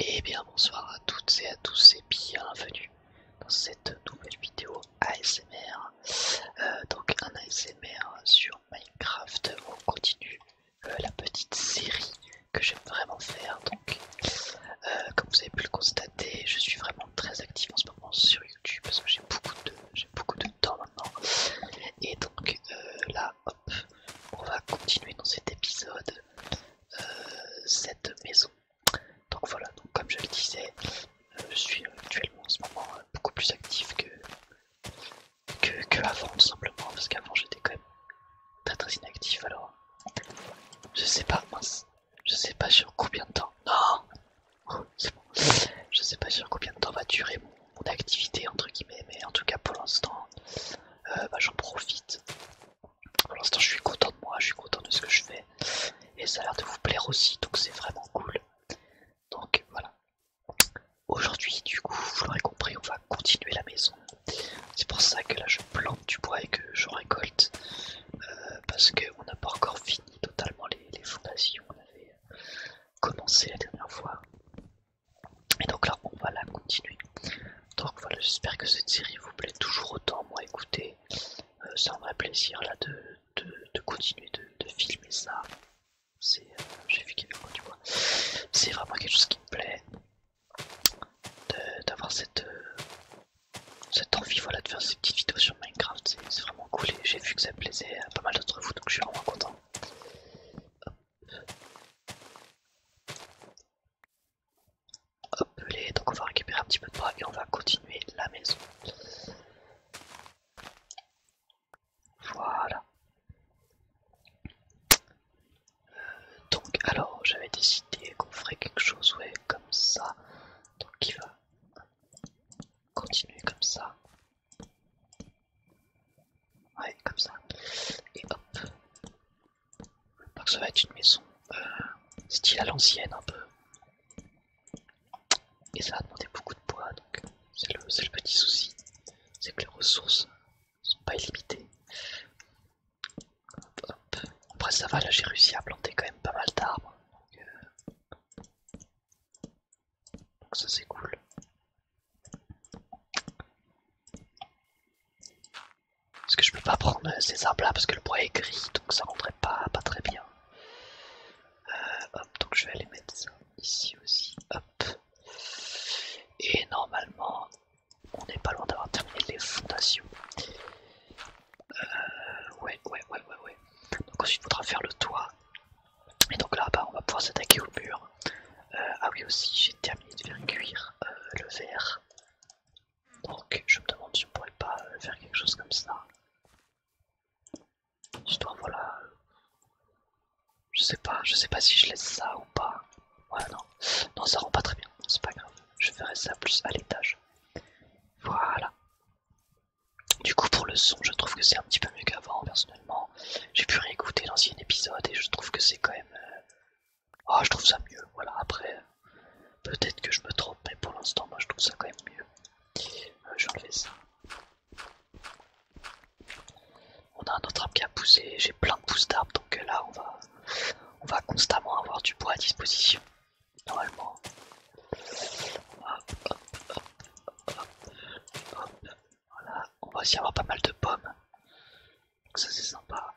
Et eh bien bonsoir à toutes et à tous et bienvenue dans cette nouvelle vidéo ASMR. Euh, donc un ASMR sur Minecraft, on continue euh, la petite série que j'aime vraiment faire. Donc euh, comme vous avez pu le constater, je suis vraiment très actif en ce moment sur YouTube parce que j'ai beaucoup de j'ai beaucoup de temps maintenant. Et donc là hop, on va continuer dans cet épisode euh, cette maison. Donc voilà, comme je le disais, euh, je suis actuellement en ce moment euh, beaucoup plus actif que, que, avant tout simplement, parce qu'avant j'étais quand même très très inactif alors. Je sais pas, je sais pas sur combien de temps. Non C'est bon. Je sais pas sur combien de temps va durer mon mon activité entre guillemets mais en tout cas pour l'instant euh, bah, j'en profite pour l'instant je suis content de moi je suis content de ce que je fais et ça a l'air de vous plaire aussi donc c'est vraiment cool donc voilà aujourd'hui du coup vous l'aurez compris on va continuer la maison c'est pour ça que là je plante du bois et que je récolte euh, parce qu'on n'a pas encore fini totalement les, les fondations on avait commencé la dernière fois et donc là, on va la continuer. Donc voilà, j'espère que cette série vous plaît toujours autant. Moi, écoutez, euh, ça c'est un vrai plaisir là de, continuer de, filmer ça. C'est, euh, j'ai vu C'est vraiment quelque chose qui me plaît d'avoir cette, euh, cette envie, voilà, de faire ces petites vidéos sur Minecraft. C'est vraiment cool et j'ai vu que ça plaisait à pas mal d'entre vous, donc je suis vraiment content. Appelé, donc on va récupérer un petit peu de bois et on va continuer la maison. Voilà. Euh, donc alors j'avais décidé qu'on ferait quelque chose ouais, comme ça. Donc il va continuer comme ça. Ouais, comme ça. Et hop. Donc ça va être une maison euh, style à l'ancienne un peu. Et ça va demander beaucoup de bois, donc c'est le, petit souci. C'est que les ressources sont pas illimitées. Après ça va, là j'ai réussi à planter quand même pas mal d'arbres. Euh, donc ça c'est cool. Parce que je peux pas prendre ces arbres là parce que le bois est gris donc ça rentrait pas, pas très bien. hop, donc je vais aller mettre ça ici aussi. Hop. Et normalement, on n'est pas loin d'avoir terminé les fondations. ouais, ouais, ouais, ouais, ouais. Donc ensuite, il faudra faire le toit. Et donc là, bas, on va pouvoir s'attaquer au mur. Euh, ah oui aussi, j'ai terminé de faire cuire euh, le verre. Donc je me demande si on pourrait pas euh, faire quelque chose comme ça. voilà. Je sais pas, je sais pas si je laisse ça ou pas. Ouais, non. Non, ça rend pas très bien. C'est pas grave. Je ferai ça plus à l'étage. Voilà. Du coup, pour le son, je trouve que c'est un petit peu mieux qu'avant, version j'ai pu réécouter l'ancien épisode et je trouve que c'est quand même... Ah, oh, je trouve ça mieux, voilà, après, euh, peut-être que je me trompe, mais pour l'instant, moi je trouve ça quand même mieux. Euh, je vais ça. On a un autre arbre qui a poussé, j'ai plein de pousses d'arbres, donc là on va, on va constamment avoir du bois à disposition, normalement. hop, hop, hop, hop, hop. Voilà, on va aussi avoir pas mal de pommes. Donc ça c'est sympa.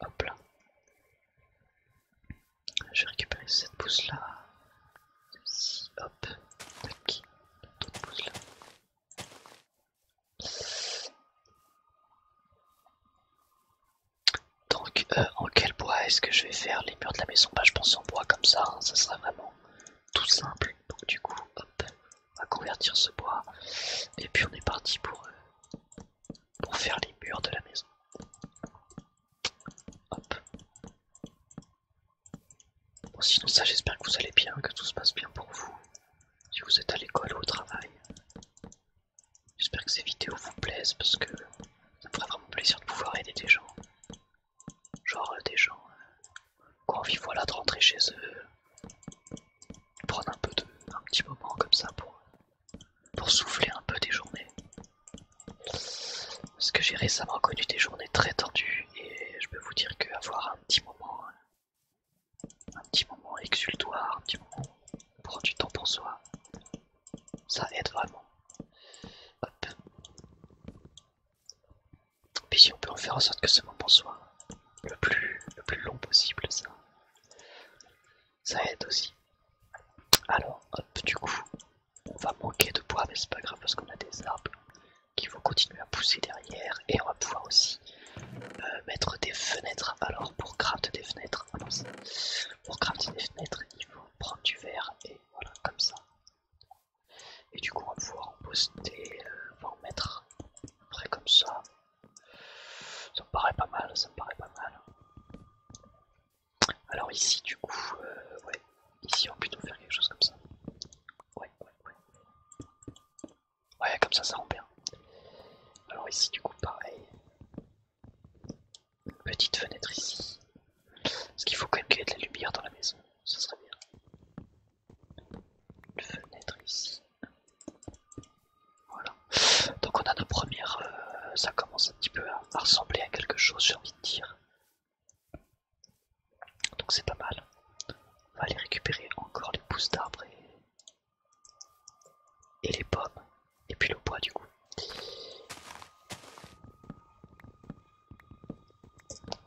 Hop là. Je vais cette pousse là. ci hop. Tac. Cette pousse là. Donc, euh, en quel bois est-ce que je vais faire les murs de la maison Bah, je pense en bois comme ça, hein. ça sera vraiment tout simple. Donc, du coup, hop, on va convertir ce bois. Et puis, on est parti pour, euh, pour faire les murs de la maison. Hop. Bon, sinon, ça, j'espère que vous allez bien, que tout se passe bien pour vous. Si vous êtes à l'école ou au travail, J'espère que ces vidéos vous plaisent parce que ça me ferait vraiment plaisir de pouvoir aider des gens. Genre euh, des gens euh, qui ont envie de rentrer chez eux, prendre un peu de un petit moment comme ça pour, pour souffler un peu des journées. Parce que j'ai récemment connu des journées très tendues et je peux vous dire qu'avoir un petit moment euh, un petit moment exultoire, un petit moment pour du temps pour soi. Ça aide vraiment. Et Puis si on peut en faire en sorte que ce moment soit le plus, plus long possible, ça, ça aide aussi. Alors, hop, du coup, on va manquer de bois, mais c'est pas grave parce qu'on a des arbres qui vont continuer à pousser derrière et on va pouvoir aussi euh, mettre des fenêtres. Alors pour crafter des fenêtres, ah pour des fenêtres, il faut prendre du verre et voilà comme ça. Et du coup on va pouvoir en poster, on euh, en mettre après comme ça. Ça me paraît pas mal, ça me paraît pas mal. Alors ici du coup, euh, ouais, ici on va plutôt faire quelque chose comme ça. ouais, ouais. Ouais, comme ça, ça rend bien. Hein. Alors ici, du coup, pareil. petite fenêtre ici. Parce qu'il faut quand même qu'il y ait de la lumière dans la maison. Ça serait bien. Une fenêtre ici. Voilà. Donc on a nos premières... Euh, ça commence un petit peu à, à ressembler à quelque chose, j'ai envie de dire. Donc c'est pas mal. On va aller récupérer encore les pousses d'arbres et et les pommes et puis le bois du coup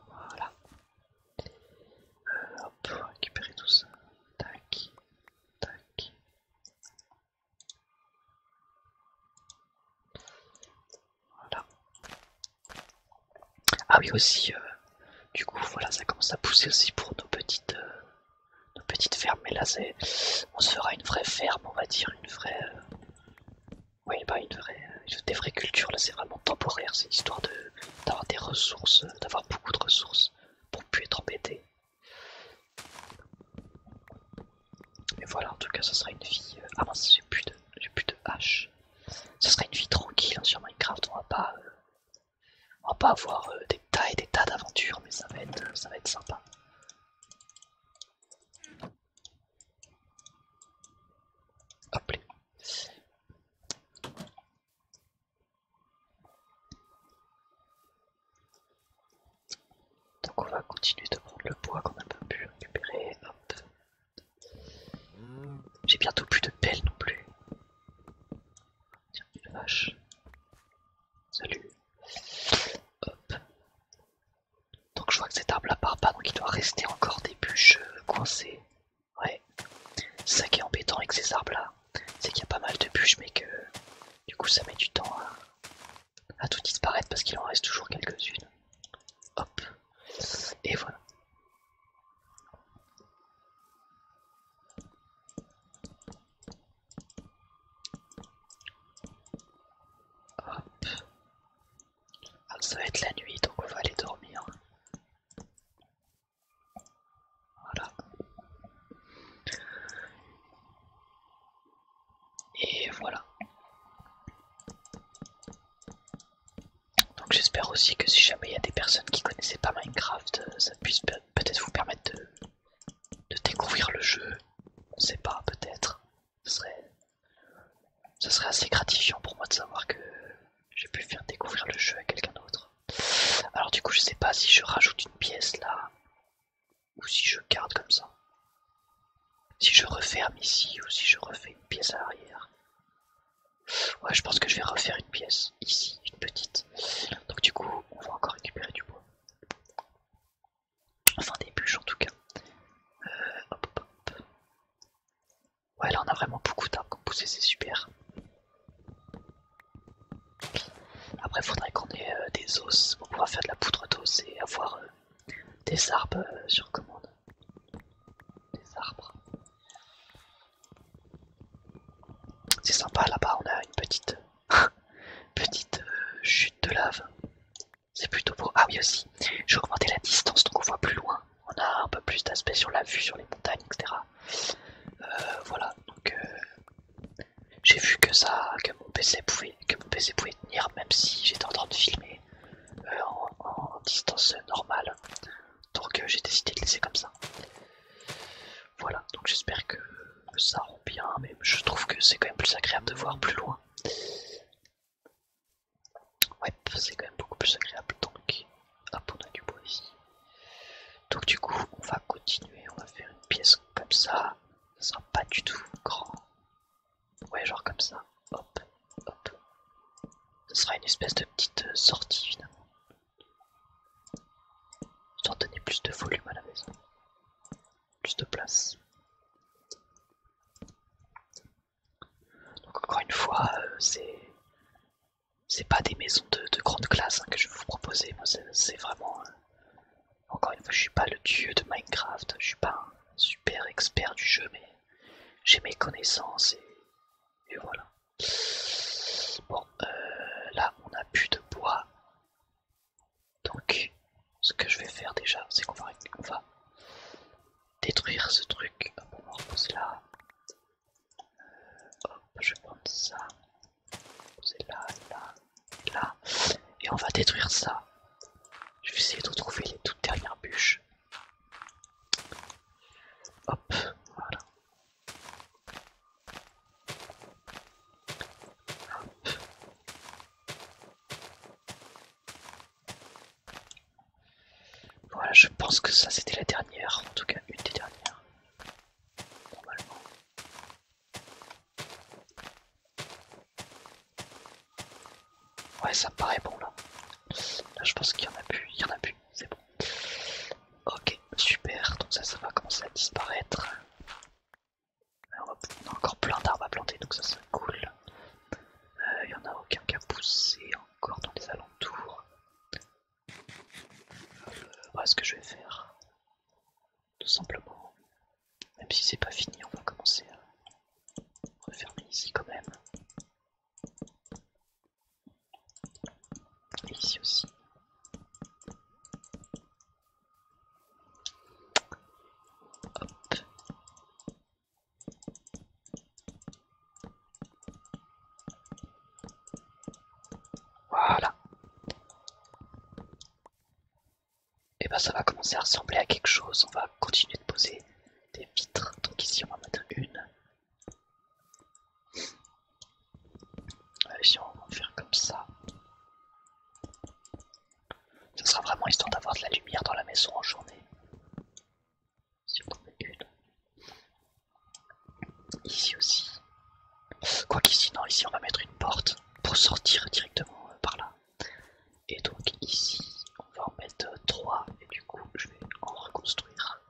voilà euh, on va récupérer tout ça tac tac voilà ah oui aussi euh, du coup voilà ça commence à pousser aussi pour nos petites euh, nos petites fermes, mais là c'est, on se fera une vraie ferme, on va dire, une vraie, euh, oui, bah une vraie, euh, des vraies cultures. Là c'est vraiment temporaire, c'est histoire de d'avoir des ressources, euh, d'avoir beaucoup de ressources pour plus être embêté. Mais voilà, en tout cas, ça sera une vie. Ah mince, j'ai plus de, j'ai plus de hache. Ça sera une vie tranquille hein, sur Minecraft. On va pas, on va pas avoir euh, des tas et des tas d'aventures, mais ça va être, euh, ça va être sympa. Donc on va continuer de prendre le bois qu'on a pas pu récupérer. J'ai bientôt plus de pelle non plus une Salut. Donc je vois que cet arbre là part pas, donc il doit rester encore des bûches coincées. Ouais. ça qui est embêtant avec ces arbres là. C'est qu'il y a pas mal de bûches, mais que du coup ça met du temps à, tout disparaître parce qu'il en reste toujours quelques-unes. Hop. Et voilà ça va être la nuit, donc on va aller dormir. Voilà. Et voilà. Donc j'espère aussi que si jamais il y a des personnes qui connaissaient pas Minecraft, euh, ça puisse peut-être vous permettre de, découvrir le jeu. On sait pas, peut-être. Ce serait, assez gratifiant pour moi de savoir que j'ai pu faire découvrir le jeu à quelqu'un d'autre. Alors du coup je sais pas si je rajoute une pièce là ou si je garde comme ça. Si je referme ici ou si je refais une pièce à l'arrière. Ouais, je pense que je vais refaire une pièce ici, une petite. Donc, du coup, on va encore récupérer du bois. Enfin, des bûches en tout cas. Euh, ouais, là on a vraiment beaucoup d'arbres pousser, c'est super. Après, faudrait qu'on ait euh, des os pour pouvoir faire de la poudre d'os et avoir euh, des arbres sur commande. Des arbres. C'est sympa là-bas, on a une petite petite euh, chute de lave. C'est plutôt beau. Ah oui aussi, j'ai augmenté la distance donc on voit plus loin. On a un peu plus d'aspect sur la vue, sur les montagnes, etc. Euh, voilà, donc euh, j'ai vu que ça, que mon PC pouvait, tenir même si j'étais en train de filmer en distance normale. Donc euh, j'ai décidé de laisser comme ça. Voilà, donc j'espère que ça rend bien, mais je trouve que c'est quand même plus agréable de voir plus loin. Ouais, c'est quand même beaucoup plus agréable. Donc, hop, on a du bois ici. Donc du coup, on va continuer, on va faire une pièce comme ça. Ça sera pas du tout grand. Ouais, genre comme ça. Hop, hop. Ce sera une espèce de petite euh, sortie finalement. Sans donner plus de volume à la maison. Plus de place. Donc encore une fois, euh, c'est pas des maisons de, grande classe hein, que je vais vous proposer. Moi, c'est vraiment euh, encore une fois, je suis pas le dieu de Minecraft. Je suis pas un super expert du jeu, mais j'ai mes connaissances et voilà. Bon, euh, là on a plus de bois. Donc ce que je vais faire déjà, c'est qu'on va, détruire ce truc. on reposer là. Euh, je vais ça. reposer là, là, là. Et on va détruire ça. Je vais essayer de trouver les toutes dernières bûches. Hop, voilà. je pense que ça c'était la dernière, en tout cas une des dernières. Normalement. Ouais, ça paraît bon là. Là, je pense qu'il y en a plus, il y en a plus, c'est bon. Ok, super, donc ça, ça va commencer à disparaître. Euh, on a encore plein d'arbres à planter, donc ça, c'est cool. Il n'y en a aucun qui a poussé encore dans les alentours. voilà euh, ce que je vais faire. Tout simplement. Même si c'est pas fini, on va commencer à refermer ici quand même. Et ici aussi. Voilà. Et eh ben ça va commencer à ressembler à quelque chose. On va continuer de poser des vitres. Donc ici on va mettre une, Allez, si on va faire comme ça. Ce sera vraiment histoire d'avoir de la lumière dans la maison en journée. Ici aussi. Quoi qu'ici, non, ici on va mettre une porte pour sortir directement euh, par là. Et donc ici, on va en mettre 3 euh, et du coup je vais en reconstruire.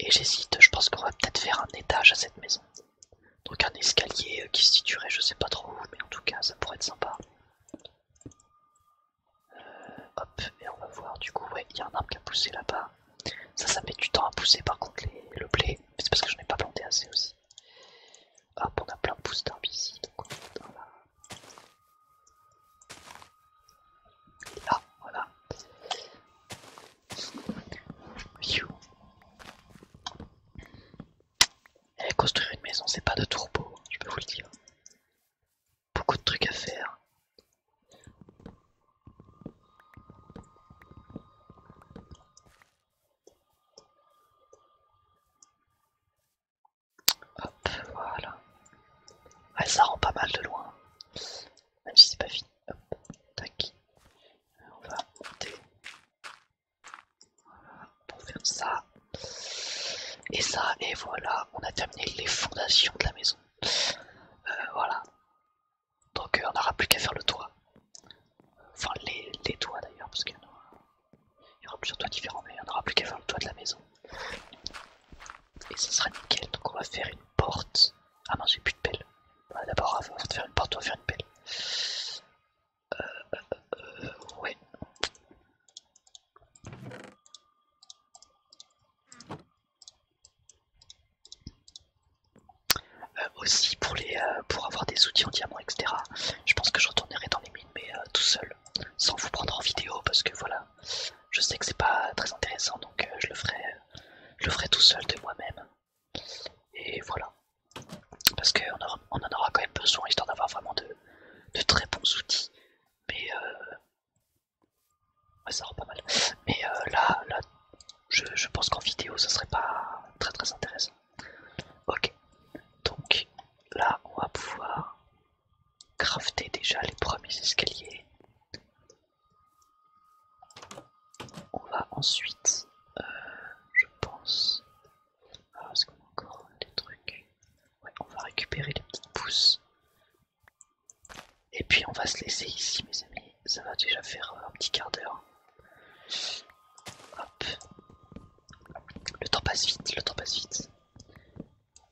Et j'hésite, je pense qu'on va peut-être faire un étage à cette maison. Donc un escalier euh, qui se situerait je sais pas trop mais en tout cas ça pourrait être sympa. Euh, hop, et on va voir du coup, ouais, il y a un arbre qui a poussé là-bas. Ça, ça met du temps à pousser par contre le blé, c'est parce que je n'ai pas planté assez aussi. Hop, on a plein de pousses d'arbres ici, donc on voilà. Et construire une maison, c'est pas de troupeau je peux vous le dire. Beaucoup de trucs à faire. Hop, voilà. Elle ça rend pas mal de loin. Même si c'est pas fini. Hop, tac. on va monter. Voilà, pour faire ça. Et ça, et voilà, on a terminé les fondations de la maison. Euh, voilà. Donc euh, on n'aura plus qu'à faire le toit. Enfin les, toits d'ailleurs, parce qu'il il y aura plusieurs toits différents, mais il n'y en aura plus qu'à faire le toit de la maison. Et ça sera nickel. Donc on va faire une porte. Ah non, j'ai plus de pelle. D'abord, on va faire une porte, on va faire une pelle. Euh, euh, euh ouais. Euh, aussi pour les pour avoir des outils en diamant etc je pense que je retournerai dans les mines mais tout seul sans vous prendre en vidéo parce que voilà, je sais que c'est pas très intéressant donc euh, je le ferai, euh, je le ferai tout seul de moi-même. Et voilà, parce qu'on on en aura quand même besoin histoire d'avoir vraiment de, très bons outils. Mais euh, ça rend pas mal. Mais là, là, je, je pense qu'en vidéo ça serait pas très très intéressant. Ok, donc là on va pouvoir crafter déjà les premiers escaliers. On va ensuite, euh, je pense, ah, est-ce qu'on a encore des trucs Ouais, on va récupérer les petites pousses. Et puis on va se laisser ici mes amis, ça va déjà faire un petit quart d'heure. Hop, le temps passe vite, le temps passe vite.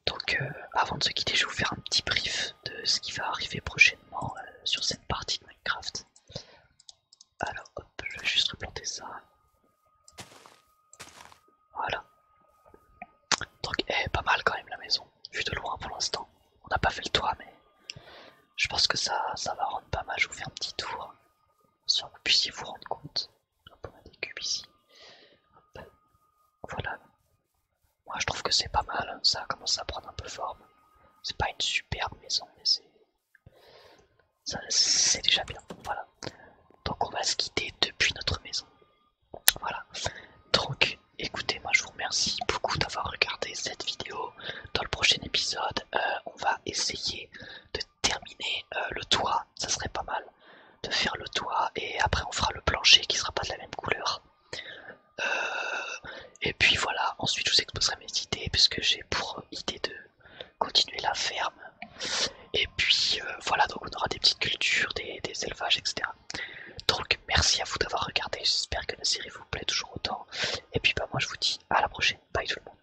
Donc euh, avant de se quitter, je vais vous faire un petit brief de ce qui va arriver prochainement euh, sur cette partie de Minecraft. Alors hop, je vais juste replanter ça. Voilà. Donc eh, pas mal quand même la maison, vu de loin pour l'instant. On n'a pas fait le toit mais je pense que ça, ça va rendre pas mal. Je vous faire un petit tour, sans que vous puissiez vous rendre compte on des cubes ici. Voilà. Moi je trouve que c'est pas mal, hein. ça commence à prendre un peu forme. C'est pas une superbe maison, mais c'est. déjà bien. Donc on va se quitter depuis notre maison. Voilà. Donc écoutez, moi je vous remercie beaucoup d'avoir regardé cette vidéo. Dans le prochain épisode, euh, on va essayer de terminer euh, le toit, ça serait pas mal de faire le toit et après on fera le plancher qui sera pas de la même couleur. Euh, et puis voilà, ensuite je vous exposerai mes idées puisque j'ai pour idée de continuer la ferme. Et puis euh, voilà, donc on aura des petites cultures, des, des élevages, etc. Donc merci à vous d'avoir regardé, j'espère que la série vous plaît toujours autant. Et puis bah moi je vous dis à la prochaine, bye tout le monde.